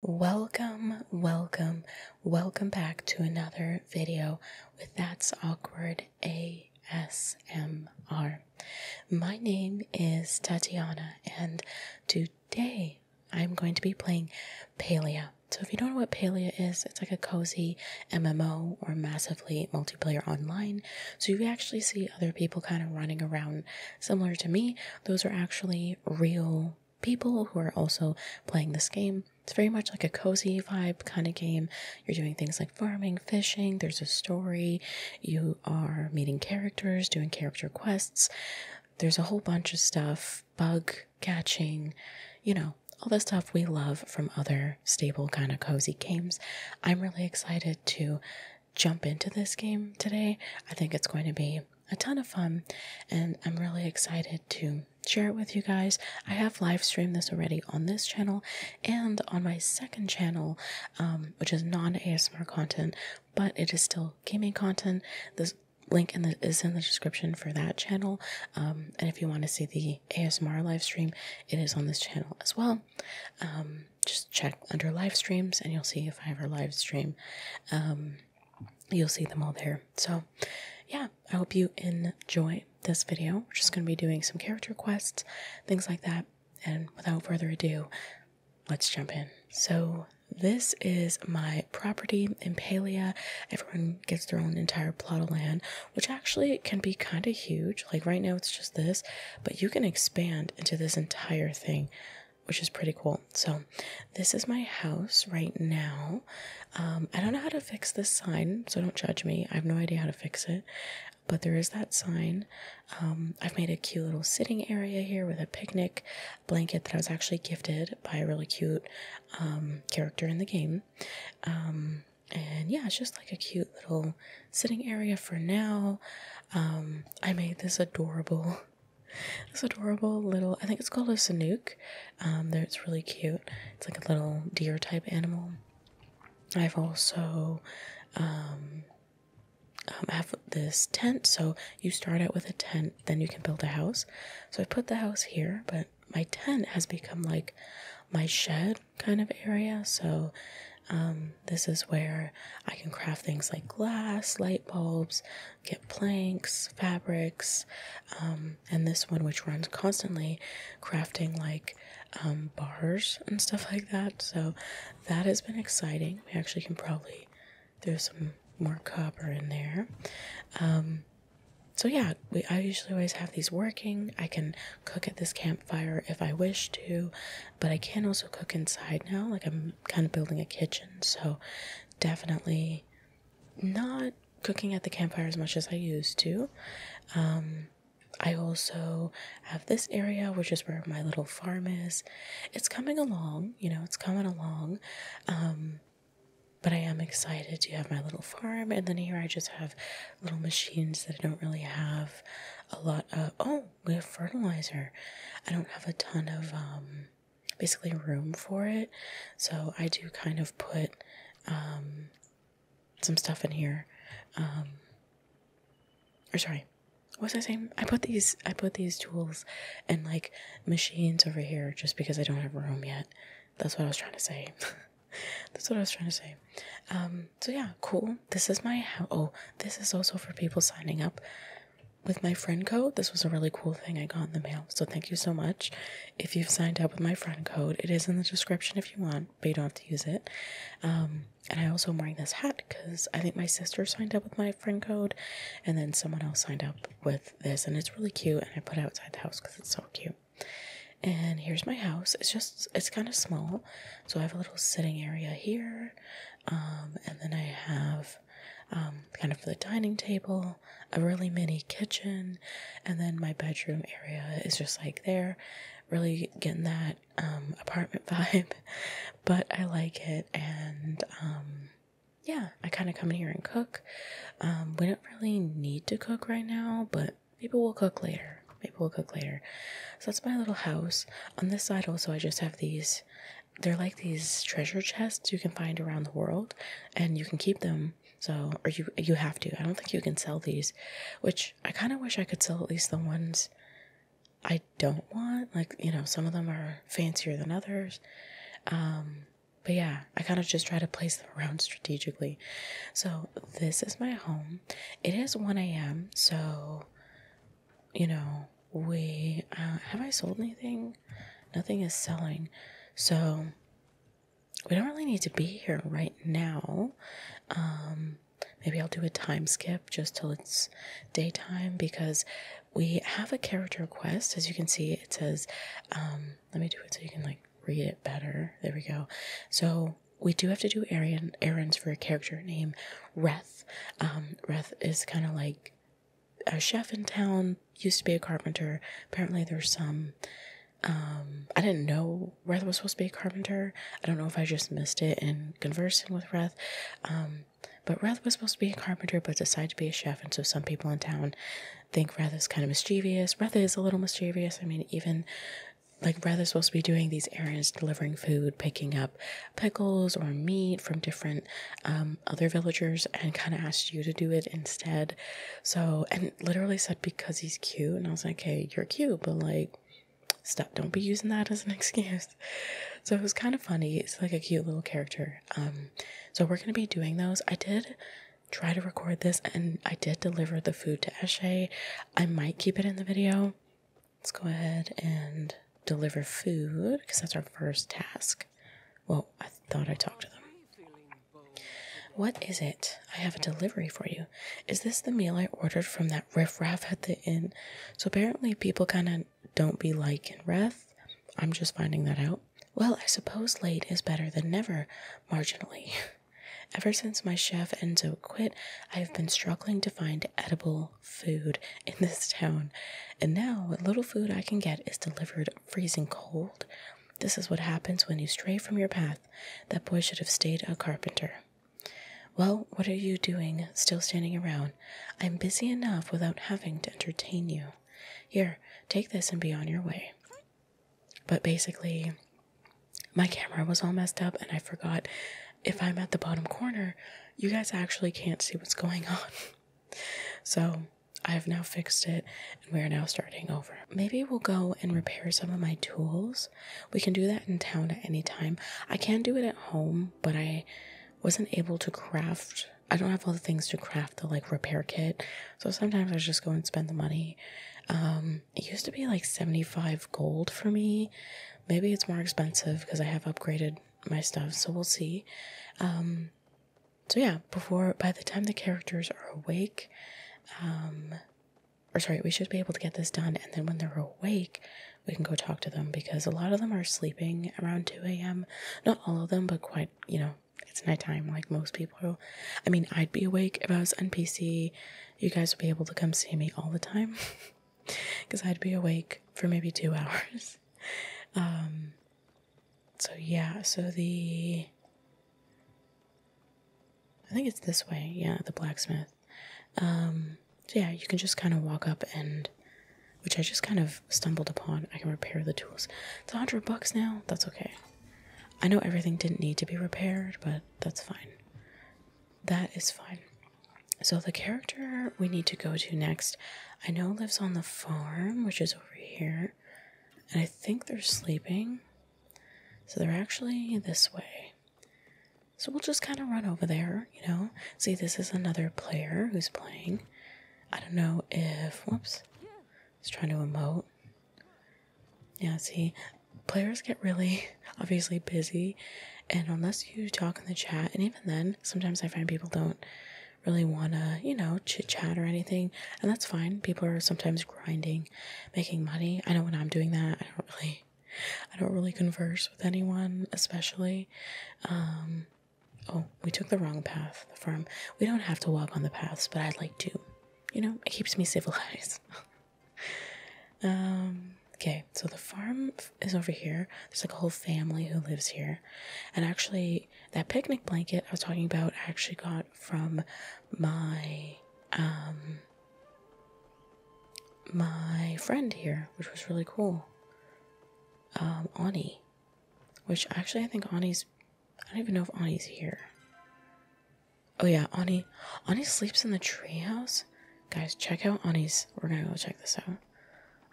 Welcome, welcome, welcome back to another video with That's Awkward ASMR. My name is Tatiana, and today I'm going to be playing Palea. So, if you don't know what Palea is, it's like a cozy MMO or massively multiplayer online. So, you actually see other people kind of running around similar to me. Those are actually real people who are also playing this game. It's very much like a cozy vibe kind of game. You're doing things like farming, fishing, there's a story, you are meeting characters, doing character quests. There's a whole bunch of stuff, bug catching, you know, all the stuff we love from other stable kind of cozy games. I'm really excited to jump into this game today. I think it's going to be a ton of fun, and I'm really excited to share it with you guys. I have live streamed this already on this channel and on my second channel, um, which is non ASMR content, but it is still gaming content. This link is in the description for that channel. Um, and if you want to see the ASMR live stream, it is on this channel as well. Um, just check under live streams and you'll see if I ever live stream you'll see them all there. So, yeah, I hope you enjoy this video. We're just going to be doing some character quests, things like that. And without further ado, let's jump in. So, this is my property, in Impalia. Everyone gets their own entire plot of land, which actually can be kind of huge. Like right now, it's just this, but you can expand into this entire thing which is pretty cool. So, this is my house right now. Um, I don't know how to fix this sign, so don't judge me. I have no idea how to fix it, but there is that sign. Um, I've made a cute little sitting area here with a picnic blanket that I was actually gifted by a really cute um, character in the game. and yeah, it's just like a cute little sitting area for now. I made this adorable this adorable little, I think it's called a Sanook. Um, it's really cute. It's like a little deer type animal. I've also, um, um, I have this tent. So you start out with a tent, then you can build a house. So I put the house here, but my tent has become like my shed kind of area. So this is where I can craft things like glass, light bulbs, get planks, fabrics, um, and this one, which runs constantly, crafting like um, bars and stuff like that. So that has been exciting. We actually can probably throw some more copper in there. Um, so yeah, we, I usually always have these working. I can cook at this campfire if I wish to, but I can also cook inside now. Like I'm kind of building a kitchen, so definitely not cooking at the campfire as much as I used to. Um, I also have this area, which is where my little farm is. It's coming along, you know, it's coming along. Um, but I am excited to have my little farm. And then here I just have little machines that I don't really have a lot of. Oh, we have fertilizer. I don't have a ton of um, basically room for it. So I do kind of put um, some stuff in here. Um, or sorry, what was I saying? I put these I put these tools and like machines over here just because I don't have room yet. That's what I was trying to say. That's what I was trying to say. Um, so yeah, cool. This is my Oh, this is also for people signing up with my friend code, this was a really cool thing I got in the mail. So thank you so much. If you've signed up with my friend code, it is in the description if you want, but you don't have to use it. Um, and I also am wearing this hat because I think my sister signed up with my friend code, and then someone else signed up with this, and it's really cute. And I put it outside the house because it's so cute. And here's my house. It's just it's kind of small, so I have a little sitting area here, um, and then I have. Um, kind of the dining table a really mini kitchen, and then my bedroom area is just like there. Really getting that um, apartment vibe, but I like it. And um, yeah, I kind of come in here and cook. Um, we don't really need to cook right now, but maybe we'll cook later. Maybe we'll cook later. So that's my little house. On this side, also, I just have these they're like these treasure chests you can find around the world and you can keep them so or you you have to i don't think you can sell these which i kind of wish i could sell at least the ones i don't want like you know some of them are fancier than others um but yeah i kind of just try to place them around strategically so this is my home it is 1 a.m so you know we uh, have i sold anything nothing is selling. So we don't really need to be here right now. Um, maybe I'll do a time skip just till it's daytime because we have a character quest. As you can see, it says, um, let me do it so you can like read it better. There we go. So we do have to do errand, errands for a character named Reth. Um, Reth is kind of like a chef in town used to be a carpenter. Apparently, there's some. Um, I didn't know Reth was supposed to be a carpenter. I don't know if I just missed it in conversing with Reth. Um, but Reth was supposed to be a carpenter, but decided to be a chef. And so some people in town think Reth is kind of mischievous. Reth is a little mischievous. I mean, even like Reth is supposed to be doing these errands, delivering food, picking up pickles or meat from different um, um, other villagers and kind of asked you to do it instead. So, and literally said because he's cute. And I was like, okay, you're cute, but like, stop, don't be using that as an excuse. So it was kind of funny. It's like a cute little character. Um, so we're going to be doing those. I did try to record this and I did deliver the food to Eshe. I might keep it in the video. Let's go ahead and deliver food because that's our first task. Well, I thought I talked to them. What is it? I have a delivery for you. Is this the meal I ordered from that riff raff at the inn? So apparently, people kind of don't be liking Ref. I'm just finding that out. Well, I suppose late is better than never, marginally. Ever since my chef Enzo quit, I have been struggling to find edible food in this town, and now what little food I can get is delivered freezing cold. This is what happens when you stray from your path. That boy should have stayed a carpenter. Well, what are you doing, still standing around? I'm busy enough without having to entertain you. Here, take this and be on your way. But basically, my camera was all messed up, and I forgot if I'm at the bottom corner, you guys actually can't see what's going on. So I have now fixed it and we are now starting over. Maybe we'll go and repair some of my tools. We can do that in town at any time. I can do it at home, but I wasn't able to craft. I don't have all the things to craft the like repair kit. So sometimes I just go and spend the money. Um, it used to be like 75 gold for me. Maybe it's more expensive because I have upgraded my stuff. So we'll see. Um, so yeah, before by the time the characters are awake, um, or sorry, we should be able to get this done. And then when they're awake, we can go talk to them because a lot of them are sleeping around 2 a.m. Not all of them, but quite, you know, it's nighttime like most people. I mean, I'd be awake if I was on PC. You guys would be able to come see me all the time because I'd be awake for maybe two hours. Um, so yeah, so the I think it's this way, yeah, the blacksmith. Um, yeah, you can just kind of walk up and which I just kind of stumbled upon. I can repair the tools. It's a hundred bucks now. That's okay. I know everything didn't need to be repaired, but that's fine. That is fine. So the character we need to go to next, I know lives on the farm, which is over here. And I think they're sleeping. So they're actually this way. So we'll just kind of run over there, you know. See, this is another player who's playing. I don't know if. Whoops. He's trying to emote. Yeah, see, players get really obviously busy. And unless you talk in the chat, and even then, sometimes I find people don't really want to, you know, chit chat or anything. And that's fine. People are sometimes grinding, making money. I know when I'm doing that, I don't really. I don't really converse with anyone, especially. Um, oh, we took the wrong path. The farm. We don't have to walk on the paths, but I'd like to. You know, it keeps me civilized. um, okay, so the farm is over here. There's like a whole family who lives here, and actually, that picnic blanket I was talking about, I actually got from my um my friend here, which was really cool. Um, Ani, which actually I think Ani's. I don't even know if Ani's here. Oh yeah, Ani. Ani sleeps in the treehouse. Guys, check out Ani's. We're gonna go check this out.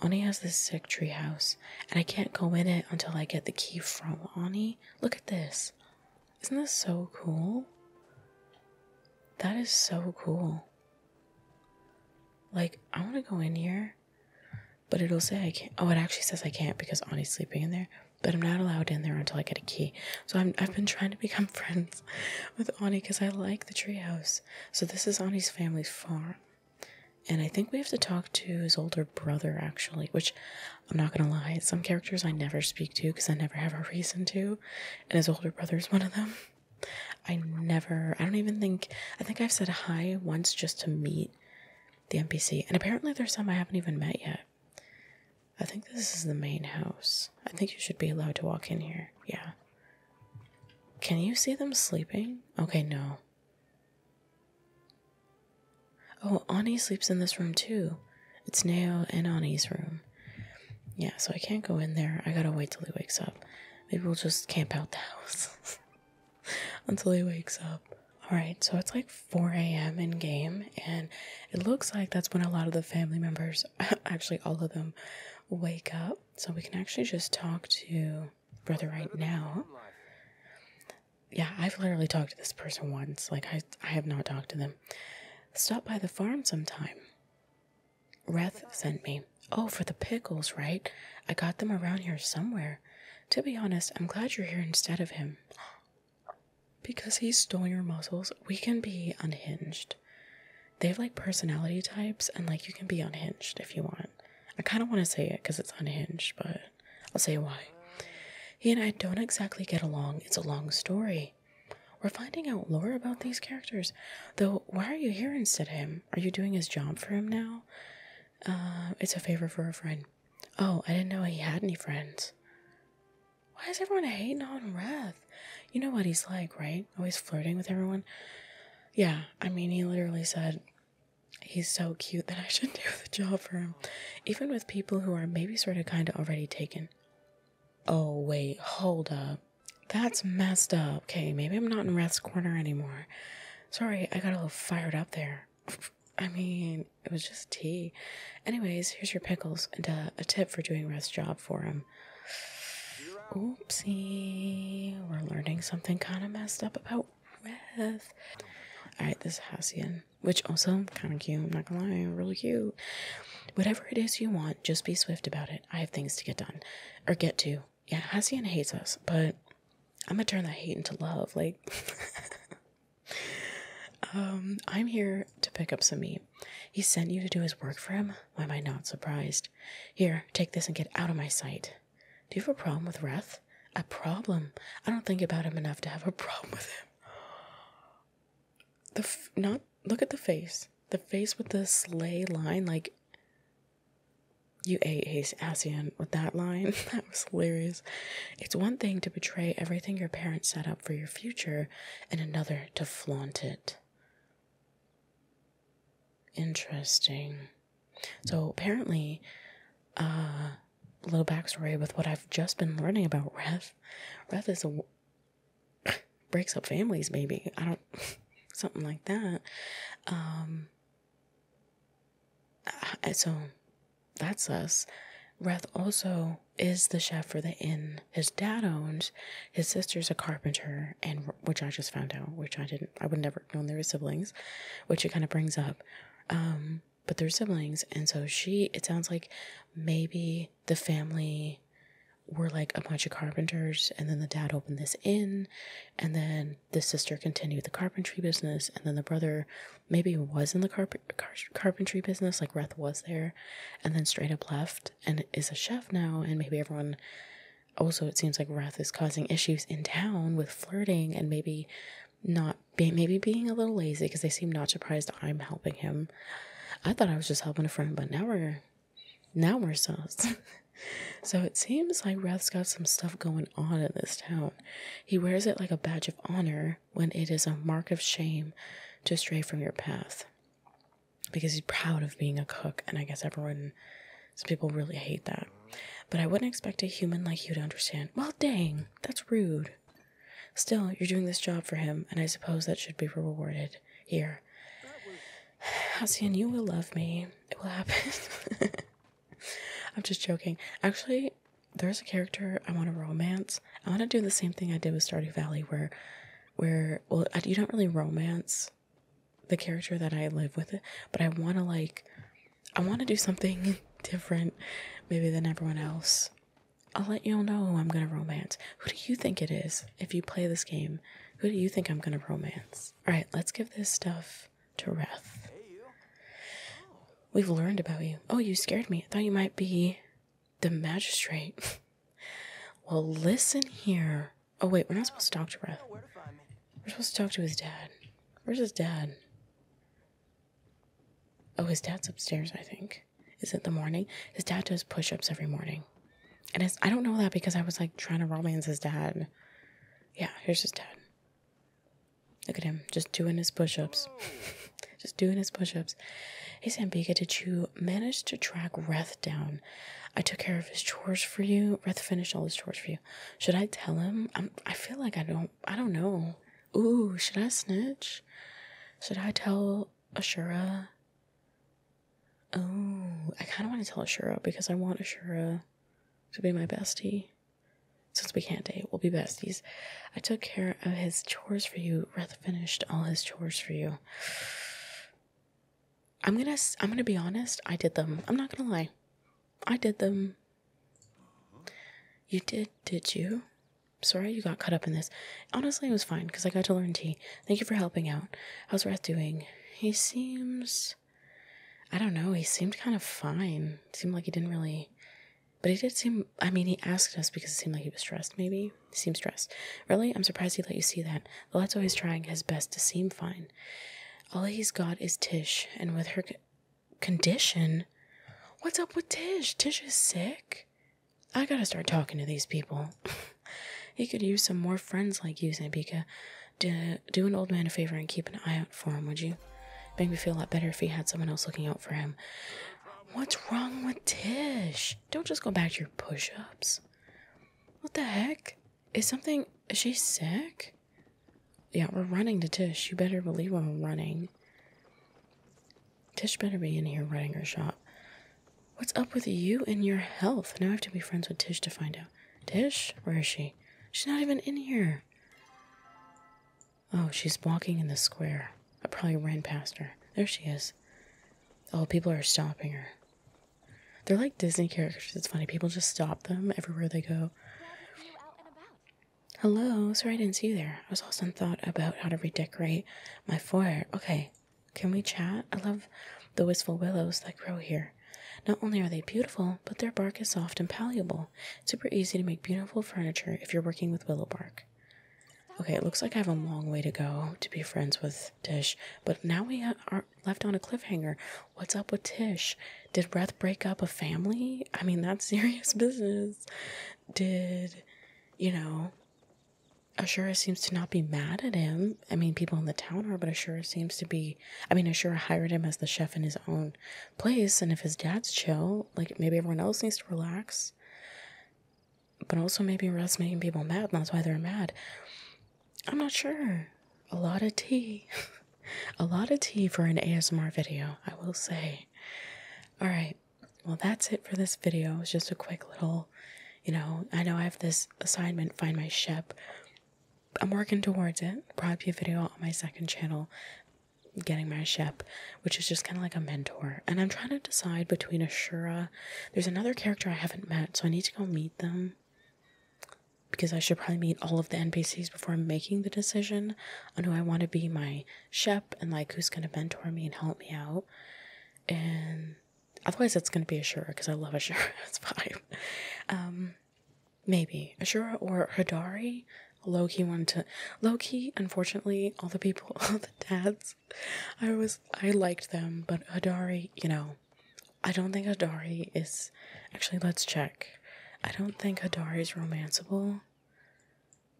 Ani has this sick treehouse and I can't go in it until I get the key from Ani. Look at this. Isn't this so cool? That is so cool. Like, I want to go in here, but it'll say I can't. Oh, it actually says I can't because Ani's sleeping in there, but I'm not allowed in there until I get a key. So i have been trying to become friends with Ani because I like the treehouse. So this is Ani's family's farm. And I think we have to talk to his older brother, actually, which I'm not gonna lie, some characters I never speak to because I never have a reason to, and his older brother is one of them. I never, I don't even think, I think I've said hi once just to meet the NPC, and apparently there's some I haven't even met yet. I think this is the main house. I think you should be allowed to walk in here. Yeah. Can you see them sleeping? Okay, no. Oh, Ani sleeps in this room too. It's Nao and Ani's room. Yeah, so I can't go in there. I gotta wait till he wakes up. Maybe we'll just camp out the house until he wakes up. Alright, so it's like 4 a.m. in game, and it looks like that's when a lot of the family members, actually, all of them, wake up. So we can actually just talk to brother right now yeah, I've literally talked to this person once. Like I I have not talked to them. Stop by the farm sometime. Rath sent me. Oh, for the pickles, right? I got them around here somewhere. To be honest, I'm glad you're here instead of him. Because he's stolen your muscles, we can be unhinged. They have like personality types, and like you can be unhinged if you want. I kind of want to say it because it's unhinged, but I'll say why. He and I don't exactly get along. It's a long story. We're finding out lore about these characters. Though, why are you here instead of him? Are you doing his job for him now? Uh, it's a favor for a friend. Oh, I didn't know he had any friends. Why is everyone hating on Wrath? You know what he's like, right? Always flirting with everyone. Yeah, I mean, he literally said, He's so cute that I should do the job for him, even with people who are maybe sort of kind of already taken. Oh, wait, hold up. That's messed up. Okay, maybe I'm not in Rath's corner anymore. Sorry, I got a little fired up there. I mean, it was just tea. Anyways, here's your pickles and a tip for doing Rath's job for him. Oopsie, we're learning something kind of messed up about Rath. Alright, this Hassian which also kind of cute. I'm not gonna lie, really cute. Whatever it is you want, just be swift about it. I have things to get done or get to. Yeah, Hacienda hates us, but I'm gonna turn that hate into love. Like, um, I'm here to pick up some meat. He sent you to do his work for him. Why am I not surprised? Here, take this and get out of my sight. Do you have a problem with Wrath? a problem. I don't think about him enough to have a problem with him. The f not look at the face. The face with the sleigh line, like you ate his ASEAN with that line. that was hilarious. It's one thing to betray everything your parents set up for your future, and another to flaunt it. Interesting. So apparently, uh, little backstory with what I've just been learning about Wrath. Wrath is a breaks up families, maybe I don't something like that. Um, so that's us. Wrath also is the chef for the inn his dad owns. His sister's a carpenter, and which I just found out, which I didn't, I would never known they were siblings, which it kind of brings up. Um, but their siblings. And so she, it sounds like maybe the family were like a bunch of carpenters, and then the dad opened this inn, and then the sister continued the carpentry business, and then the brother maybe was in the carp carpentry business, like Reth was there, and then straight up left and is a chef now, and maybe everyone. Also, it seems like Reth is causing issues in town with flirting and maybe not maybe being a little lazy because they seem not surprised I'm helping him. I thought I was just helping a friend, but now we're now we're sus. so it seems like Rath's got some stuff going on in this town. He wears it like a badge of honor when it is a mark of shame to stray from your path. Because he's proud of being a cook, and I guess everyone some people really hate that. But I wouldn't expect a human like you to understand. Well, dang, that's rude. Still, you're doing this job for him, and I suppose that should be rewarded. Here. Halcyon, you will love me. It will happen. I'm just joking. Actually, there's a character I want to romance. I want to do the same thing I did with Stardew Valley, where, where, well, you don't really romance the character that I live with, it, but I want to like I want to do something different, maybe than everyone else. I'll let you all know who I'm gonna romance. Who do you think it is if you play this game? Who do you think I'm gonna romance? Alright, let's give this stuff to Reth. We've learned about you. Oh, you scared me. I thought you might be the magistrate. well, listen here. Oh, wait, we're not supposed to talk to Reth. We're supposed to talk to his dad. Where's his dad? Oh, his dad's upstairs, I think. Is it the morning? His dad does push ups every morning. And I don't know that because I was like trying to romance his dad. Yeah, here's his dad. Look at him, just doing his push ups. just doing his push ups. Hey, Sambika, did you manage to track Reth down? I took care of his chores for you. Reth finished all his chores for you. Should I tell him? I feel like I don't, I don't know. Ooh, should I snitch? Should I tell Ashura? Oh, I kind of want to tell Ashura because I want Ashura to be my bestie. Since we can't date, we'll be besties. I took care of his chores for you. Reth finished all his chores for you. I'm gonna I'm gonna be honest. I did them. I'm not gonna lie. I did them. You did, did you? Sorry you got caught up in this. Honestly, it was fine because I got to learn tea. Thank you for helping out. How's Rath doing? He seems. I don't know. He seemed kind of fine. Seemed like he didn't really. But he did seem. I mean, he asked us because it seemed like he was stressed, maybe. seemed stressed. Really? I'm surprised he let you see that. The lad's always trying his best to seem fine. All he's got is Tish, and with her condition. What's up with Tish? Tish is sick. I gotta start talking to these people. he could use some more friends like you, Zambika. To do an old man a favor and keep an eye out for him, would you? Make me feel a lot better if he had someone else looking out for him. What's wrong with Tish? Don't just go back to your push ups. What the heck? Is something. Is she sick? Yeah, we're running to Tish. You better believe we're running. Tish better be in here running her shop. What's up with you and your health? Now I have to be friends with Tish to find out. Tish? Where is she? She's not even in here. Oh, she's walking in the square. I probably ran past her. There she is. Oh, people are stopping her. They're like Disney characters. It's funny. People just stop them everywhere they go. Hello, sorry I didn't see you there. I was also in thought about how to redecorate my foyer. Okay, can we chat? I love the wistful willows that grow here. Not only are they beautiful, but their bark is soft and palatable. super easy to make beautiful furniture if you're working with willow bark. Okay, it looks like I have a long way to go to be friends with Tish, but now we are left on a cliffhanger. What's up with Tish? Did Breath break up a family? I mean, that's serious business did, you know, Ashura seems to not be mad at him. I mean, people in the town are, but Ashura seems to be. I mean, Ashura hired him as the chef in his own place, and if his dad's chill, like maybe everyone else needs to relax. But also, maybe Russ making people mad, and that's why they're mad. I'm not sure. A lot of tea. a lot of tea for an ASMR video, I will say. All right well, that's it for this video. It's just a quick little, you know, I know I have this assignment, find my ship. I'm working towards it. Probably a video on my second channel, getting my ship, which is just kind of like a mentor. And I'm trying to decide between Ashura. There's another character I haven't met, so I need to go meet them. Because I should probably meet all of the NPCs before making the decision on who I want to be my shep and like who's going to mentor me and help me out. And otherwise, it's going to be Ashura because I love Ashura. it's fine. Um, maybe Ashura or Hadari, Hidari. Loki one to. Loki, unfortunately, all the people, all the dads, I was, I liked them, but Hadari, you know, I don't think Hadari is. Actually, let's check. I don't think Hadari is romancable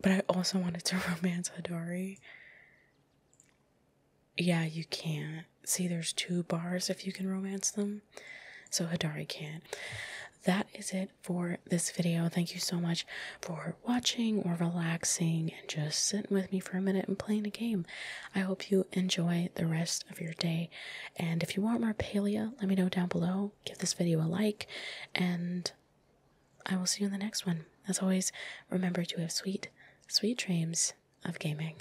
but I also wanted to romance Hidori. Yeah, you can't. See, there's two bars if you can romance them. So Hidari can. That is it for this video. Thank you so much for watching or relaxing and just sitting with me for a minute and playing a game. I hope you enjoy the rest of your day. And if you want more Palea, let me know down below. Give this video a like and I will see you in the next one. As always, remember to have sweet, sweet dreams of gaming.